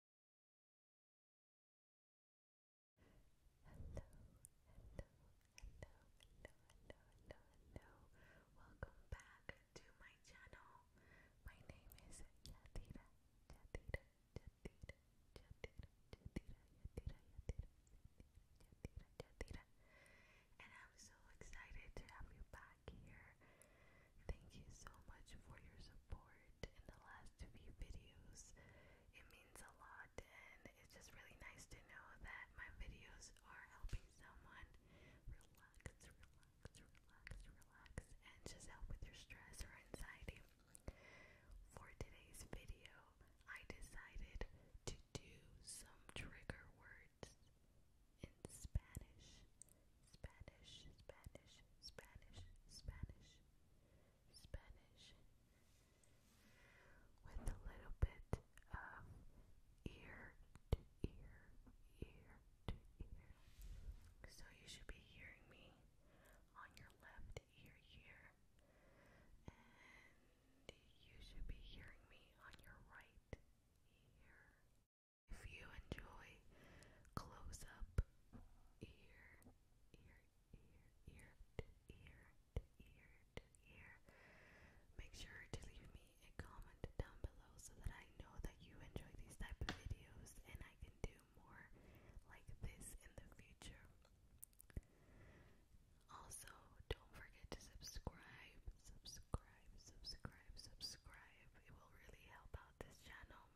hello, hello, hello, hello, hello. Welcome back to my channel. My name is Yadira, Yadira, Yadira, Yadira, Yadira, Yadira, Yadira, Yadira, And I'm so excited to have you back here. Thank you so much for your support in the last few videos. It means a lot and it's just really nice to know that my videos are helping someone relax, relax, relax, relax and just help with your stress or anxiety. For today's video, I decided to do some trigger words in Spanish. Spanish, Spanish, Spanish, Spanish, Spanish, with a little bit of ear to ear, ear to ear. So you should be hearing me on your left ear here, and you should be hearing me on your right ear. If you enjoy close up ear, ear, ear, ear to ear to ear to ear, make sure to leave me a comment down below so that I know that you enjoy these type of videos and I can do more like this in the future. Also, don't forget to subscribe, subscribe, subscribe, subscribe. It will really help out this channel.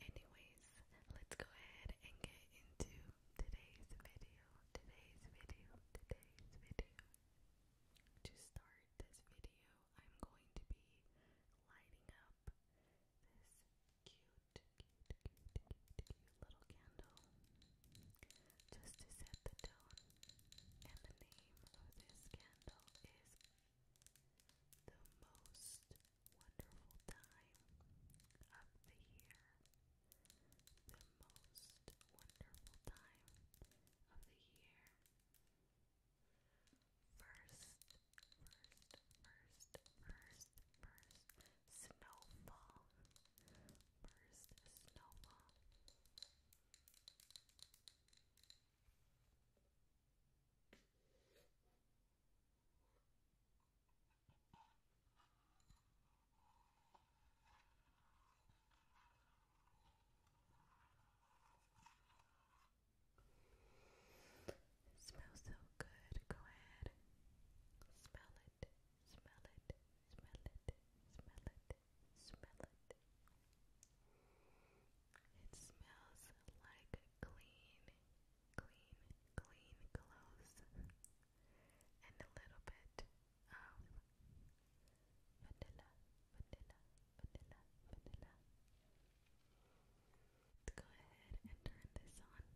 Anyways, let's go ahead and get into today's video. Today's video, today's video. To start this video, I'm going to be lighting up this cute, little candle just to set the tone. And the name of this candle is the most wonderful time of the year. The most wonderful time of the year. First, first, first, first, first snowfall. First snowfall. It smells so good. Go ahead. Smell it. Smell it. Smell it. Smell it. Smell it. It smells like clean, clean, clean clothes and a little bit vanilla, vanilla, vanilla, vanilla. Let's go ahead and turn this on.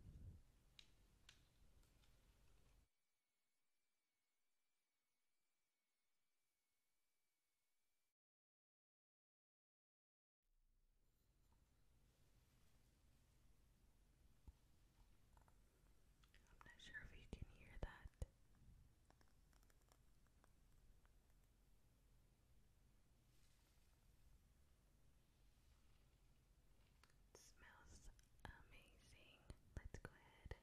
I'm not sure if you can hear that. It smells amazing. Let's go ahead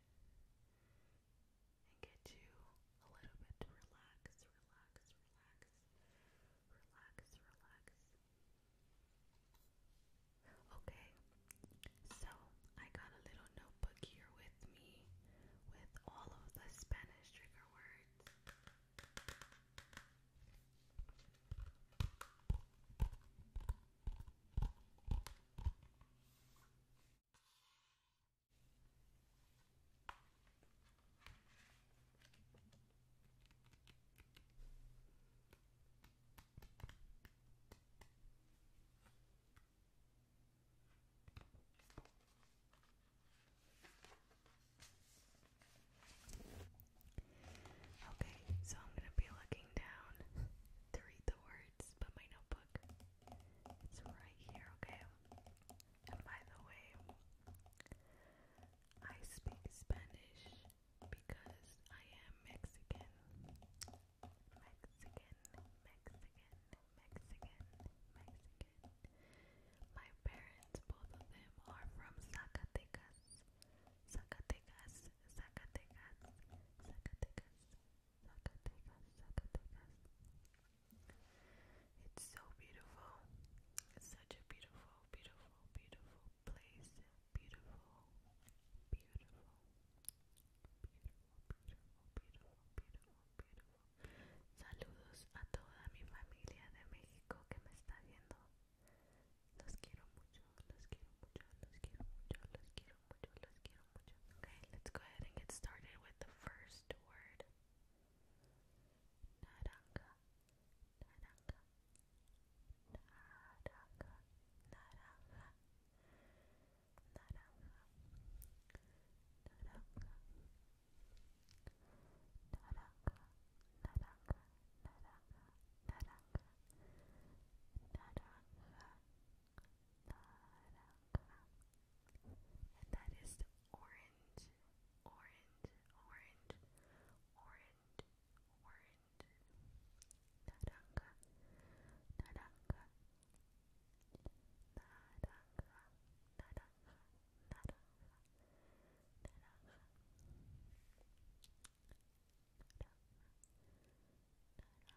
and get you a little bit to relax, relax, relax, relax, relax. Okay, so I got a little notebook here with me with all of the Spanish trigger words. Okay, so I'm going to be looking down to read the words, but my notebook it's right here, okay? And by the way, I speak Spanish because I am Mexican. Mexican, Mexican, Mexican, Mexican. My parents, both of them, are from Zacatecas. Zacatecas, Zacatecas, Zacatecas, Zacatecas, Sacatecas It's so beautiful. It's such a beautiful, beautiful, beautiful place. Beautiful, beautiful, beautiful, beautiful, beautiful, beautiful, beautiful. Saludos a toda mi familia de México que me está viendo. Los quiero mucho, los quiero mucho, los quiero mucho, los quiero mucho, los quiero Okay, let's go ahead and get started with the first word. Naranja, naranja, naranja, naranja, naranja, naranja, naranja, naranja, naranja, naranja, naranja. Naranja, and that is the orange, orange, orange, orange, orange. Naranja, naranja, naranja, naranja, naranja, naranja. Naranja,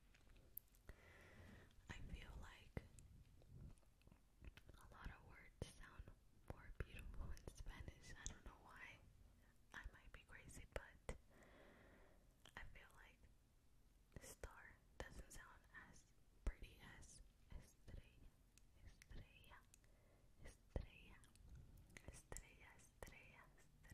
I feel like a lot of words sound more beautiful in Spanish. I don't know why. I might be crazy, but I feel like star doesn't sound as pretty as estrella, estrella, estrella, estrella, estrella, estrella.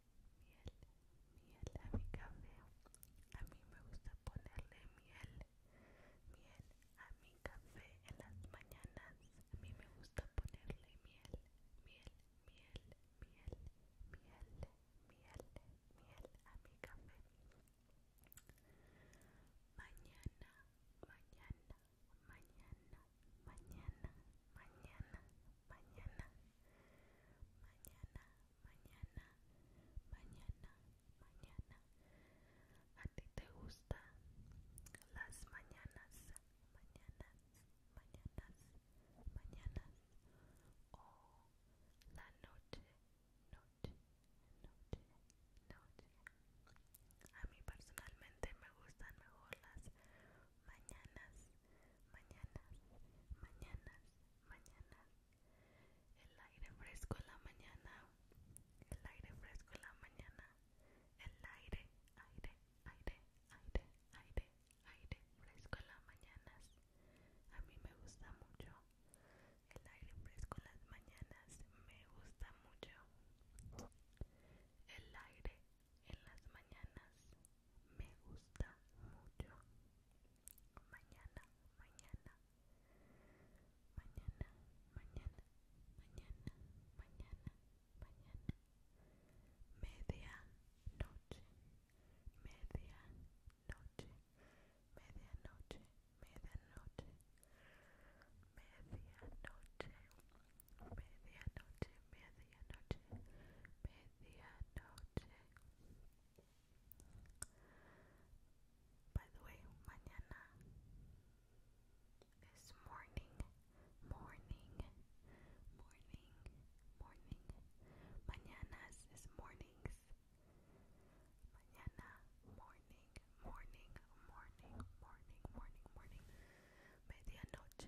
miel, miel a mi café. A mí me gusta ponerle miel, miel a mi café en las mañanas. A mí me gusta ponerle miel, miel, miel, miel, miel, miel, miel a mi café. Mañana, mañana, mañana, mañana, mañana, mañana, mañana, mañana, mañana, mañana. ¿A ti te gustan las mañanas, mañanas, mañanas, mañanas o la noche, noche, noche, noche? A mí personalmente me gustan mejor las mañanas, mañanas, mañanas, mañanas. El aire fresco en la mañana, el aire fresco en la mañana, el aire, aire, aire, aire, aire, aire fresco en las mañanas. A mí me gusta mucho. El aire fresco en las mañanas me gusta mucho. El aire, en las mañanas me gusta mucho. Mañana, mañana. Mañana, mañana, mañana, mañana, mañana. Media noche. Media noche. Media noche. Media noche. Media noche. medianoche, medianoche. By the way, mañana is morning, morning, morning, morning. Mañanas is mornings. Mañana, morning, morning, morning, morning, morning, morning. Medianoche, medianoche,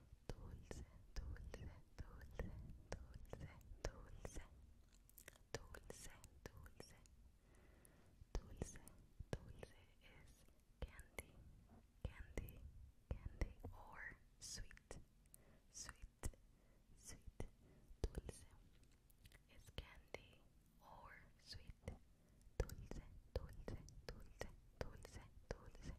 dulce, dulce, dulce, dulce, dulce, dulce, dulce, dulce, dulce is candy, candy, candy, or sweet, sweet, sweet, dulce is candy or sweet, dulce, dulce, dulce, dulce, dulce,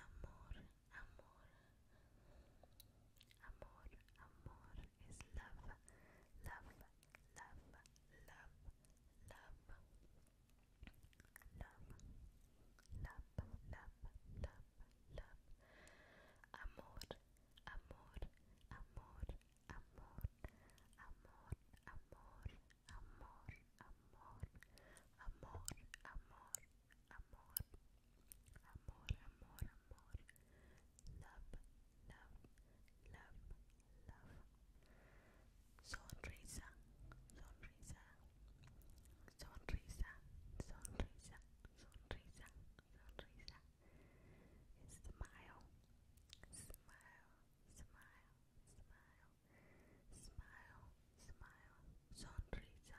Amor, amor. Amor, amor is love, love, love, love, love. Love, love, love, love, Amor, amor, amor, amor, amor, amor, amor, amor, amor, amor, amor, amor, amor, amor, love, love, love, love, sonrisa, sonrisa, sonrisa, sonrisa, sonrisa, sonrisa, smile, smile, smile, smile, smile, smile, sonrisa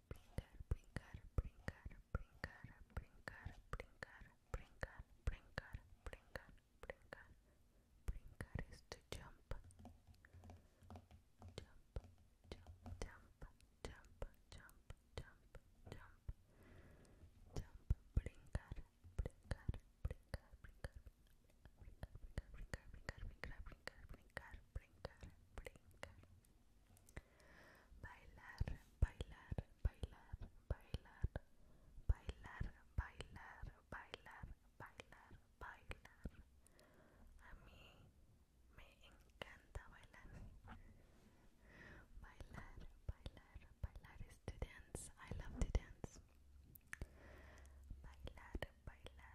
brincar, brincar, brincar, brincar, brincar, brincar, brincar, brincar, brincar, brincar. Brincar is to jump. Jump, jump, jump, jump, jump, jump, jump. Jump, brincar, brincar, brincar. Brincar, brincar, brincar, brincar, brincar, brincar, brincar, brincar, brincar. Bailar, bailar, bailar, bailar, bailar, bailar, bailar, bailar, bailar. A mí me encanta bailar. Bailar, bailar, bailar is to dance. I love to dance. Bailar, bailar, bailar,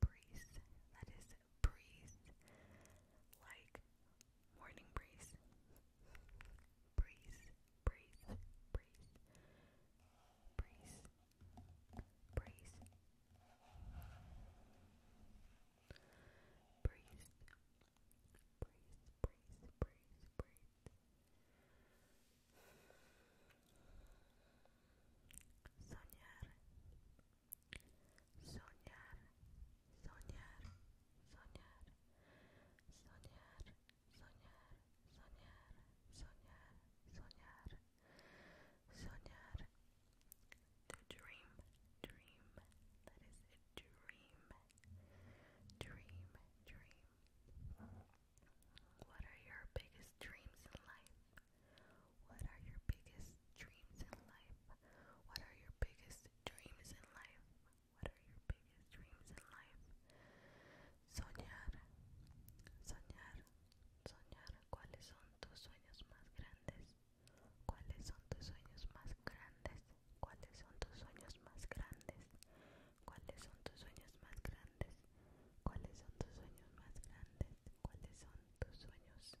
breeze. That is breeze. Like morning breeze. Breeze, breeze, breeze, breeze, breeze, breeze, breeze, breeze, breeze, breeze. Soñar, Soñar, soñar, soñar, soñar, soñar, soñar, soñar, soñar, soñar. dream, dream, that is a dream, dream, dream. What are your biggest dreams in life? What are your biggest dreams in life? What are your biggest dreams in life? What are your biggest dreams in life? Soñar, soñar, soñar. ¿Cuáles son tus sueños más grandes? ¿Cuáles son tus sueños más grandes? ¿Cuáles son tus sueños más grandes? ¿Cuáles son tus sueños más grandes? ¿Cuáles son tus sueños más grandes? ¿Cuáles son tus sueños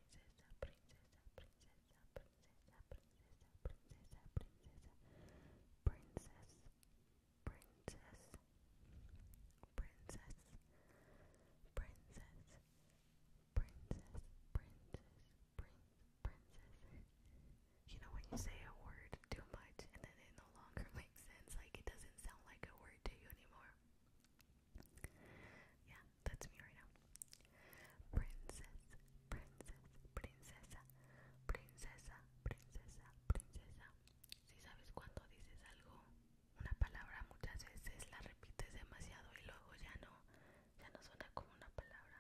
princesa, princesa, princesa, princesa, princesa, princesa, princesa, princess, princess, princess, princess, princess, princess, princess. You know when you say a word too much and then it no longer makes sense, like it doesn't sound like a word to you anymore. Yeah, that's me right now. princesa, princesa, princesa, princesa. Si sabes cuando dices algo, una palabra muchas veces la repites demasiado y luego ya no, ya no suena como una palabra.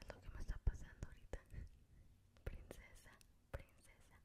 Es lo que me está pasando ahorita. Princesa, princesa,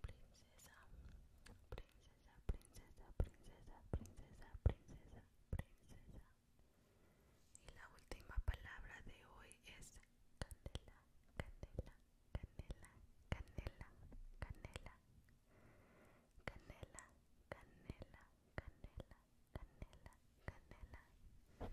princesa, princesa, princesa, princesa, princesa, princesa, princesa. Y la última palabra de hoy es Canela, canela, canela, canela, canela, canela, canela, canela, canela, canela, canela,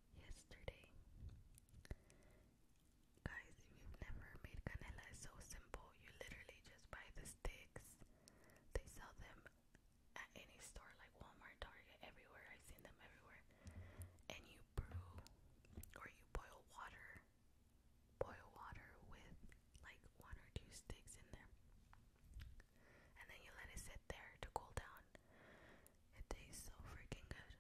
yesterday. Guys, you've never made canela, it's so simple. You literally just buy the sticks. They sell them at any store like Walmart, Target, everywhere. I've seen them everywhere. And you brew or you boil water. Boil water with like one or two sticks in there and then you let it sit there to cool down. It tastes so freaking good.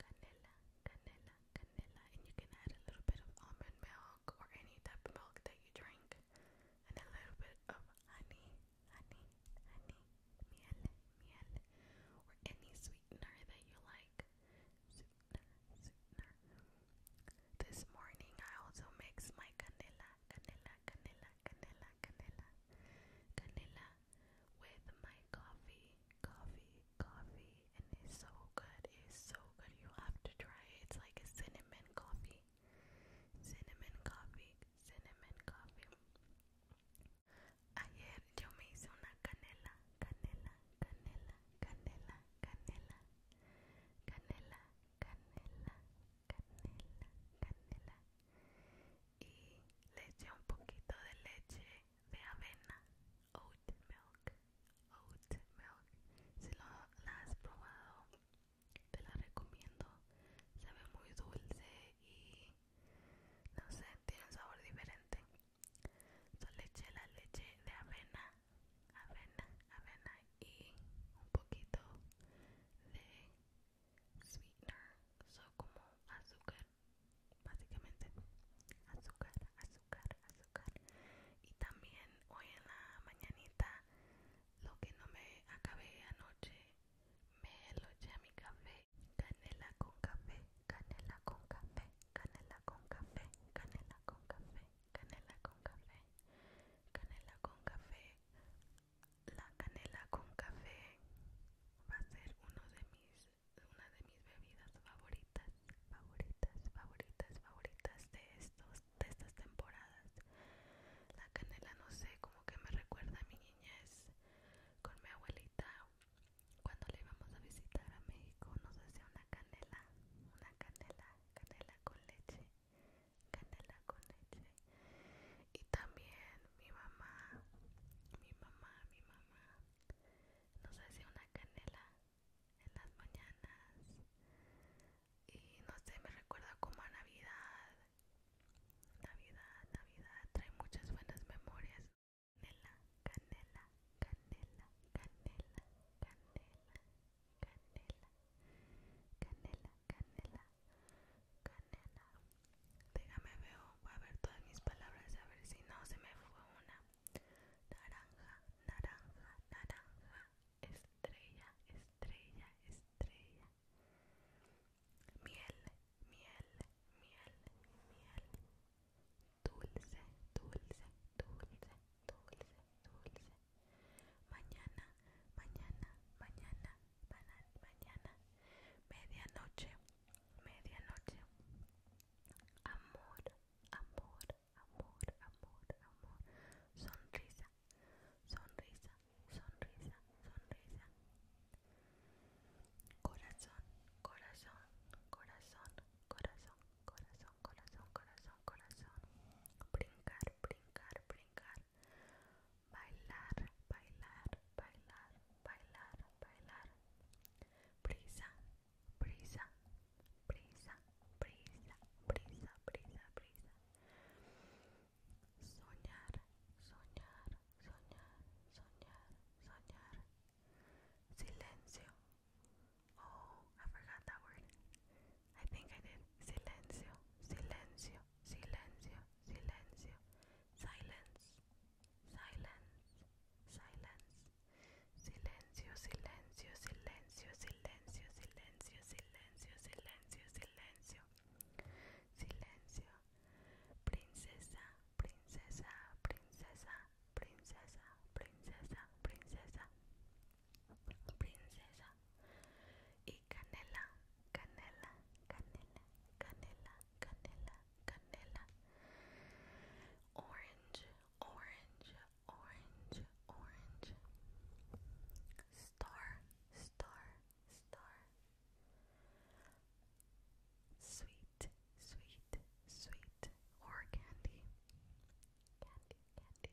Canela, canela, canela, and you can add a little bit of almond milk or any type of milk that you drink, and a little bit of honey, honey, honey, miel, miel, or any sweetener that you like. Sweetener, This morning I also mix my canela, canela, canela, canela, canela, canela with my coffee, coffee, coffee, and it's so good, it's so good. You have to try it. It's like a cinnamon coffee, cinnamon coffee, cinnamon coffee. Ayer yo me hice una canela, canela, canela, canela, canela, canela, canela, canela, canela, canela. y le eché un poquito de leche de avena, oat milk, oat milk. Si la has probado, te la recomiendo. Sabe muy dulce y no sé, tiene un sabor diferente. Yo le la leche de avena, avena, avena y un poquito de sweetener, so como azúcar, básicamente azúcar, azúcar, azúcar. Y también hoy en la mañanita, lo que no me acabé anoche, me lo eché a mi café. Canela con café, canela con café, canela con café, canela con café, canela con café, canela con café, la canela con café va a ser uno de mis una de mis bebidas favoritas favoritas favoritas favoritas de estos de estas temporadas la canela no sé como que me recuerda a mi niñez con mi abuelita cuando le íbamos a visitar a México nos hacía una canela una canela canela con leche canela con leche y también mi mamá mi mamá mi mamá nos hacía una canela en las mañanas y no sé me recuerda como a navidad navidad navidad trae muchas buenas memorias canela canela canela canela canela canela canela canela canela. Déjame veo, voy a ver todas mis palabras a ver si no se me fue una. Naranja, naranja, naranja. Estrella, estrella, estrella. Miel, miel, miel, miel. Dulce, dulce, dulce, dulce, dulce. Mañana, mañana, mañana, mañana, medianoche, medianoche. Amor, amor, amor, amor, amor. Sonrisa, sonrisa, sonrisa, sonrisa. Corazón, corazón, corazón, corazón, corazón, corazón, corazón, corazón. Brincar, brincar, brincar, bailar, bailar, bailar, bailar, bailar. Brisa, brisa, brisa, brisa, brisa, brisa, brisa. Soñar, soñar, soñar, soñar, soñar. Silencio. Oh, I forgot that word. I think I did. Silencio, silencio, silencio, silencio. Silence, silence, silence. Silencio, silencio, silencio, silencio, silencio, silencio, silencio, silencio. Silencio. Princesa, princesa, princesa, princesa, princesa, princesa. Princesa, y canela, canela, canela, canela, canela, canela, orange, orange, orange, orange, star, star, star, sweet, sweet, sweet, or candy, candy, candy,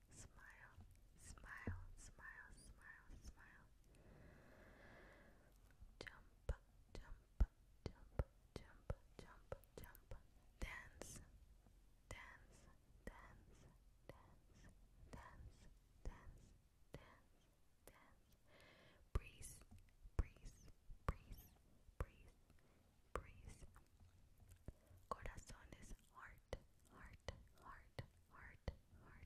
smile, smile, smile, smile, smile. Jump, jump, jump, jump, jump, jump. Dance, dance, dance, dance, dance, dance, dance, dance. Breeze, breeze, breeze, breeze, breeze. Corazones, heart, heart, heart, heart, heart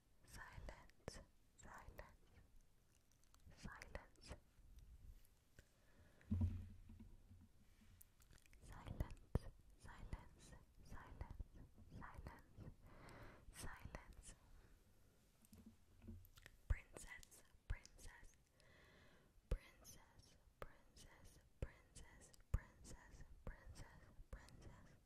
silence, silence, silence, silence, silence, silence, silence, silence. Princess, princess, princess, princess, princess, princess, princess, princess.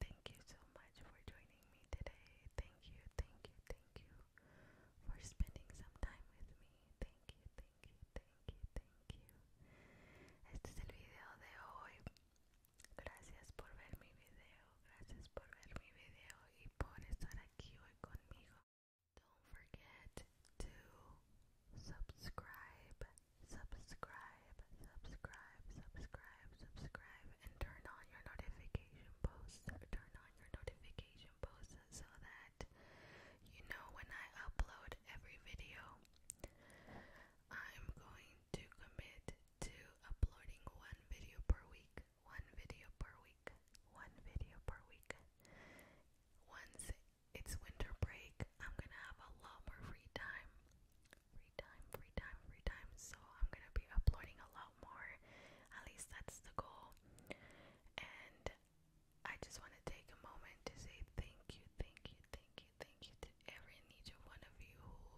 thank you so much for joining me today. Thank you, thank you, thank you for spending some time with me. Thank you, thank you, thank you, thank you. Este es el video de hoy. Gracias por ver mi video. Gracias por ver mi video y por estar aquí hoy conmigo. Don't forget to subscribe, subscribe, subscribe, subscribe, subscribe and turn on your notification posts. Turn on your notification posts so that you know when I upload every video. I'm going to commit to uploading one video per week. One video per week. One video per week. Once it's winter break, I'm gonna have a lot more free time free time, free time, free time. So I'm gonna be uploading a lot more. At least that's the goal. And I just want to take a moment to say thank you, thank you, thank you, thank you to every and one of you who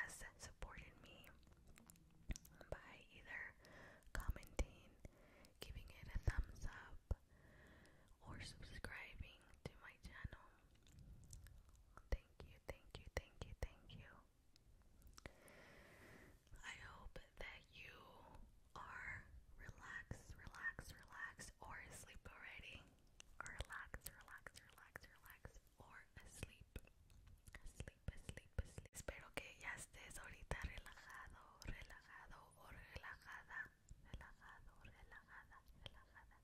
has supported me by either commenting, giving it a thumbs up, or subscribing to my channel. Thank thank you, thank you, thank you, thank you. I hope that you are relaxed, relaxed, relaxed, or asleep already. Or relax, relax, relax, relax, or asleep. Asleep, asleep, asleep. Espero que ya estés ahorita relajado, relajado o relajada. Relajado, relajada, relajada.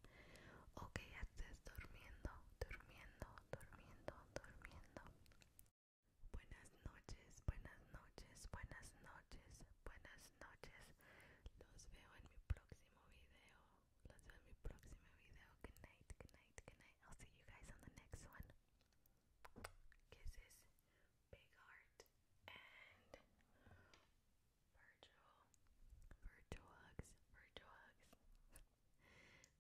Okay, Ok, ya durmiendo, durmiendo, durmiendo, durmiendo. Buenas noches, buenas noches, buenas noches, buenas noches. Los veo en mi próximo video. Los veo en mi próximo video. Good night, good night, good night. I'll see you guys on the next one. Kisses, big heart, and virtual, virtual hugs, Bye, guys.